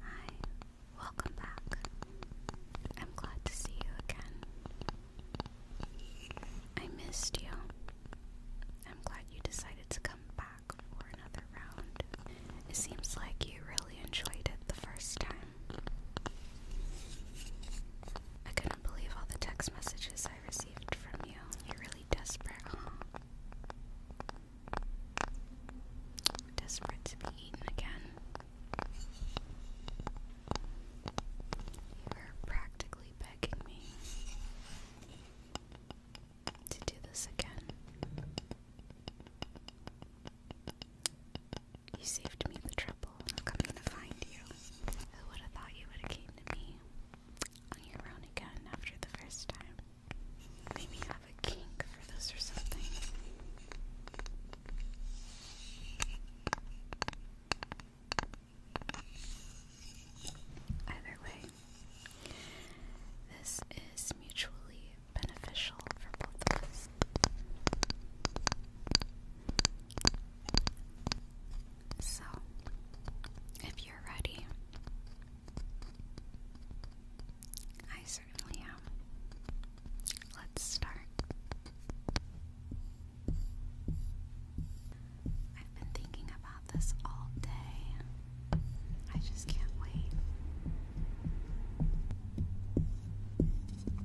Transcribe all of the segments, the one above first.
Hi, welcome back. I'm glad to see you again. I missed you. I'm glad you decided to come back for another round. It seems like you really enjoyed it the first time. I can't believe all the text messages I received from you. You're really desperate, huh? Desperate to be eaten again. You were practically begging me to do this again. You saved me the trouble. I'm coming to find you. Who would have thought you would have came to me on your own again after the first time? Maybe have a kink for this or something. Either way, this is mutually beneficial for both of us. So, if you're ready, I certainly am. Let's start. I've been thinking about this all day. I just can't wait.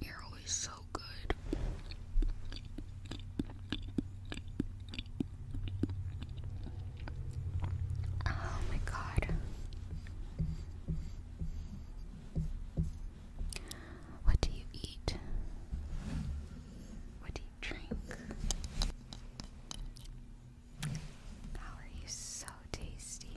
you're always so good. Oh my god. What do you eat? What do you drink? How are you so tasty?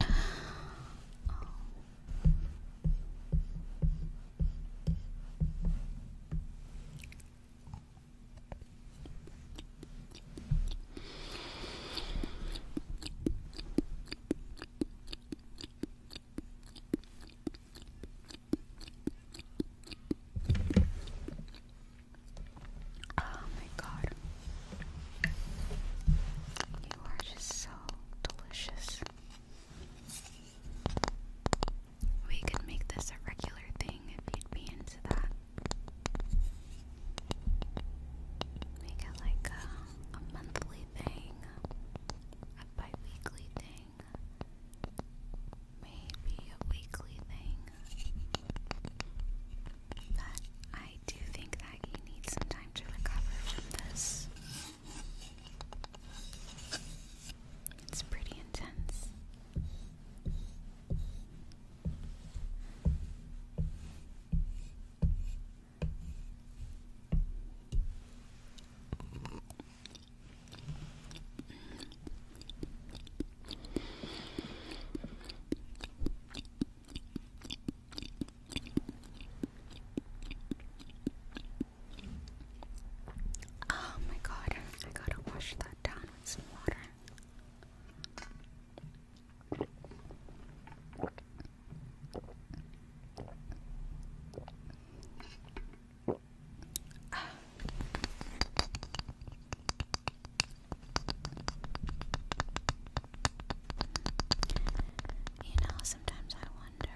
Um, oh my god. You are just so delicious. We could make this a regular thing if you'd be into that. Make it like a, monthly thing, a bi thing, maybe a weekly thing. But I do think that he needs some time to recover from this. It's pretty intense. Oh my god, I gotta wash that down with some water. You know, sometimes I wonder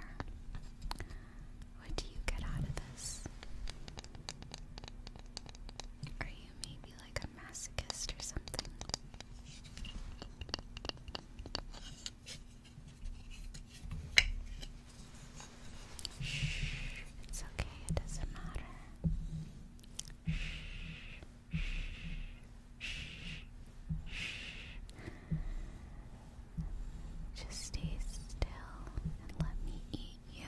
what do you get out of this? Are you maybe like a masochist or something? Shh, it's okay, it doesn't matter. Shh, just stay still and let me eat you.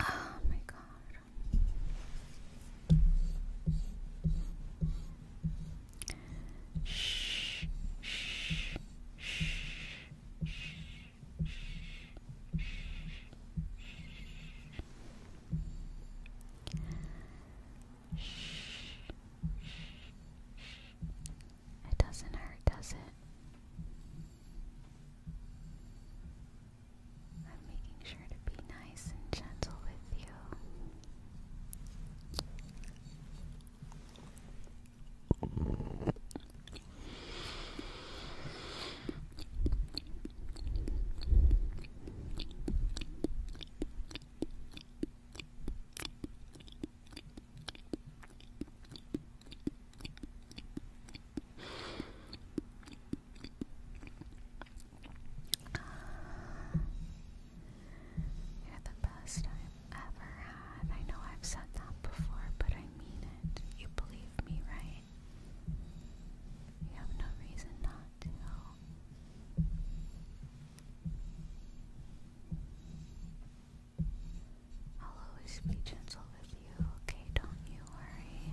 Oh my gosh. Shh, shh, shh, shh, shh, shh. It doesn't hurt, does it? I'm making sure to be nice and gentle with you. You're the best I've ever had. I know I've said that before, but I mean it. You believe me, right? You have no reason not to. I'll always be gentle with you, okay? Don't you worry.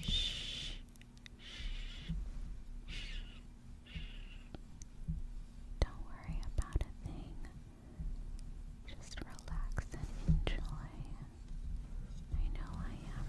Shh. Don't worry about a thing. Just relax and enjoy. I know I am.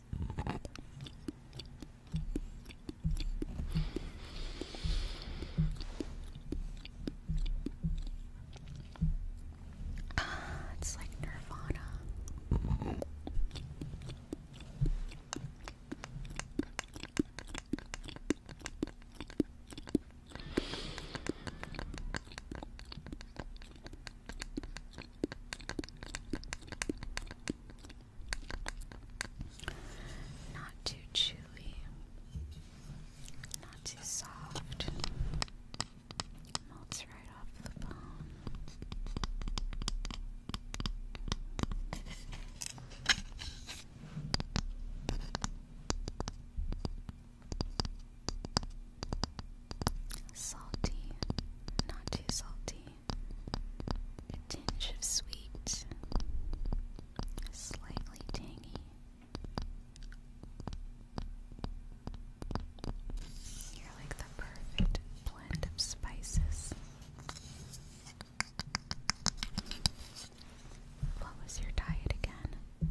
Ah, it's like Nirvana. Not too chewy, not too soft. Melts right off the bone. Salty, not too salty. A tinge of sweet, slightly tangy. You're like the perfect blend of spices. What was your diet again?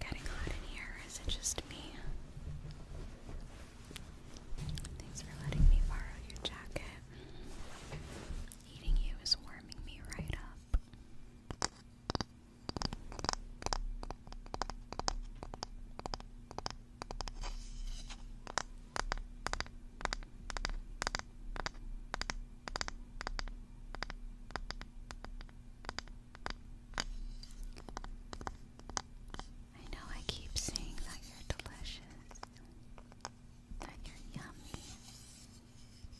Getting hot in here, it just me? Thanks for letting me borrow your jacket. Eating you is warming me right up. I know I keep saying that you're delicious, that you're yummy,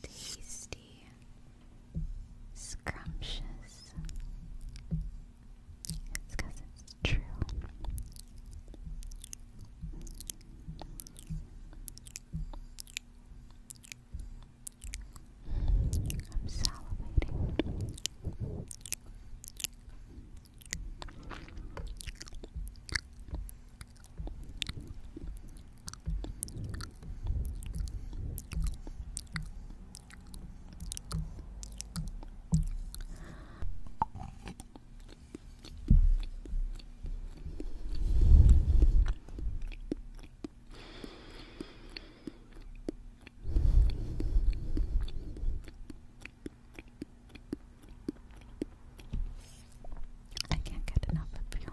tasty, scrumptious, it's because it's true. I'm salivating. I can't get enough of you.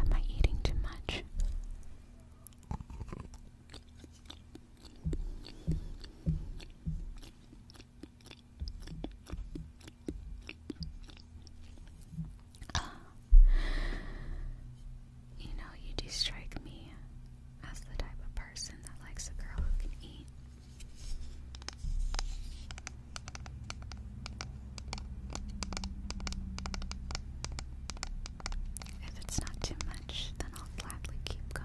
Am I eating too much? You know, you do strike me as the type of person that likes a girl who can eat. If it's not too much, then I'll gladly keep going.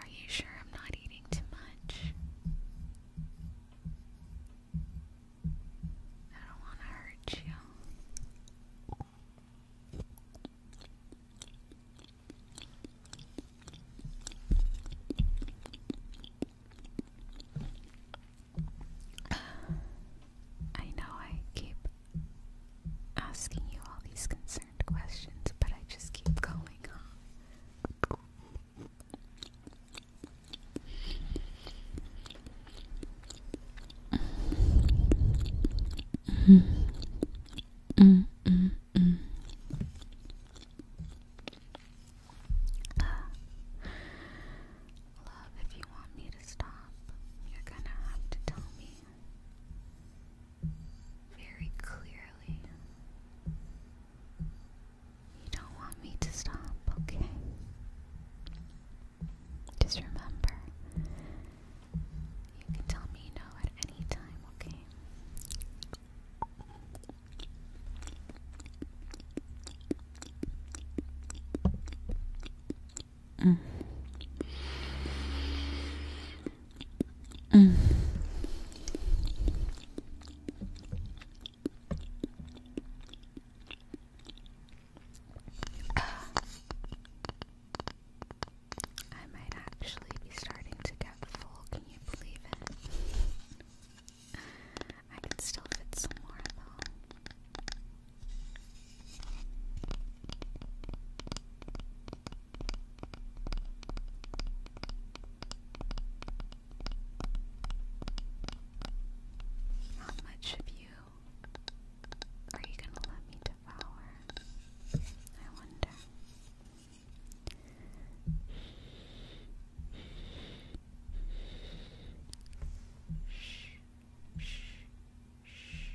Are you sure I'm not eating too much? I don't want to hurt you. I know I keep asking you all these concerns questions, but I just keep going, huh? Mm. Mm, mm, love, if you want me to stop, you're gonna have to tell me very clearly. You don't want me to stop, okay? Just remember, you can tell me no at any time, okay? Mm. Mm. I might actually be starting to get full. Can you believe it? I can still fit some more though. How much of you are you going to let me devour? I wonder. Shh, shh, shh, shh,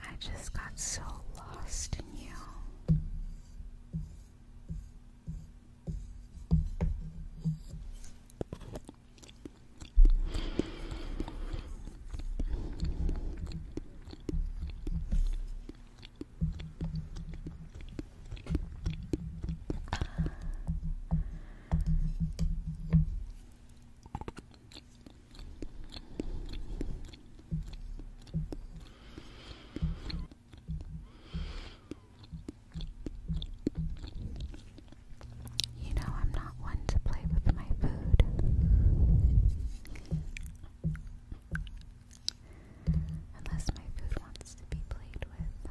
I just got so lost in you. You know, I'm not one to play with my food. Unless my food wants to be played with.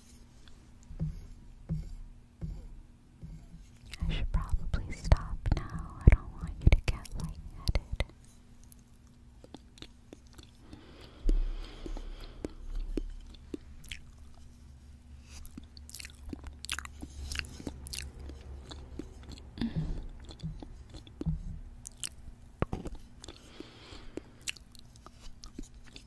I should probably stop now. I don't want you to get lightheaded.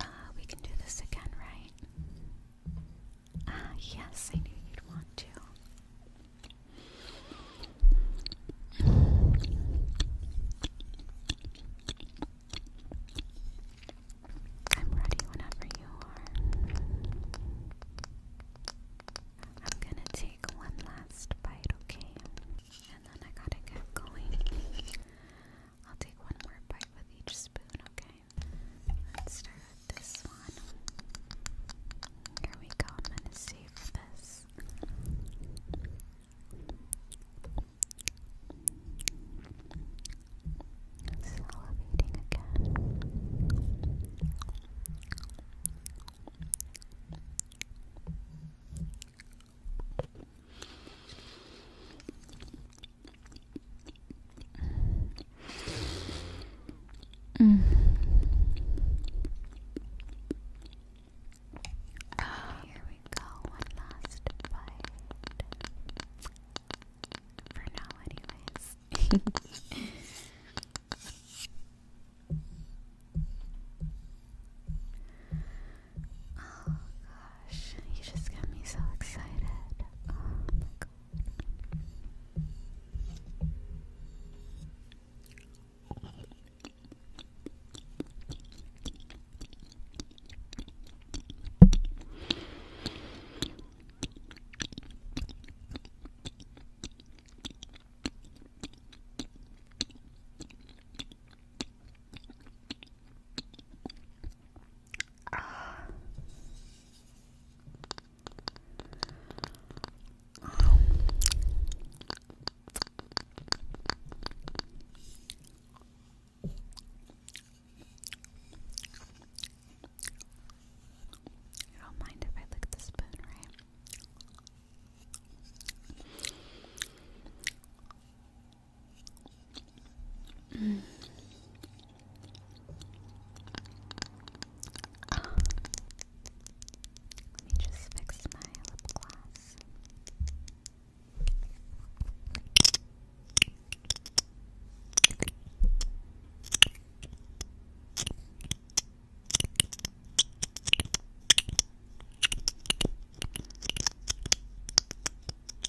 Uh, we can do this again, right? Uh, yes, I knew you'd want to. I'm ready whenever you are. I'm gonna take one last bite, okay? And then I gotta get going. I'll take one more bite with each spoon, okay? let's start with this one. Here we go. I'm gonna save this. It's again. Mm. Here we go, one last bite. For now, anyways. Oh, you just got me so excited. Oh my god. You don't mind if I lick the spoon, right? Mm. Uh, let me just fix my lip gloss.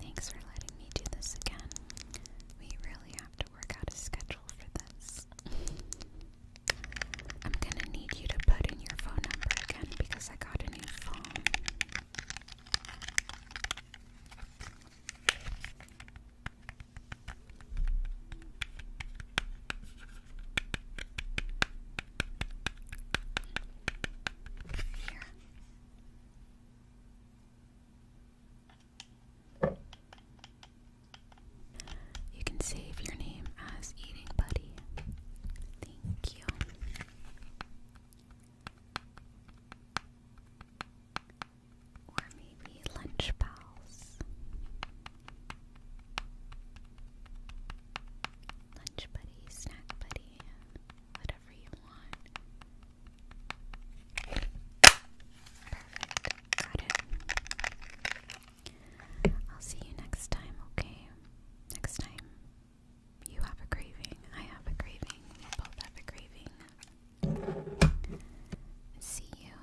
Thanks for letting me do this again. We really have to work out a schedule for this. I'm gonna need you to put in your phone number again because I got a new phone. You can save your name as Eating Buddy. Thank you. Or maybe Lunch Pals. Lunch buddy, snack buddy, whatever you want. Perfect. Got it. I'll see you next time, okay? Next time you have a craving, I have a craving, we both have a craving. See you.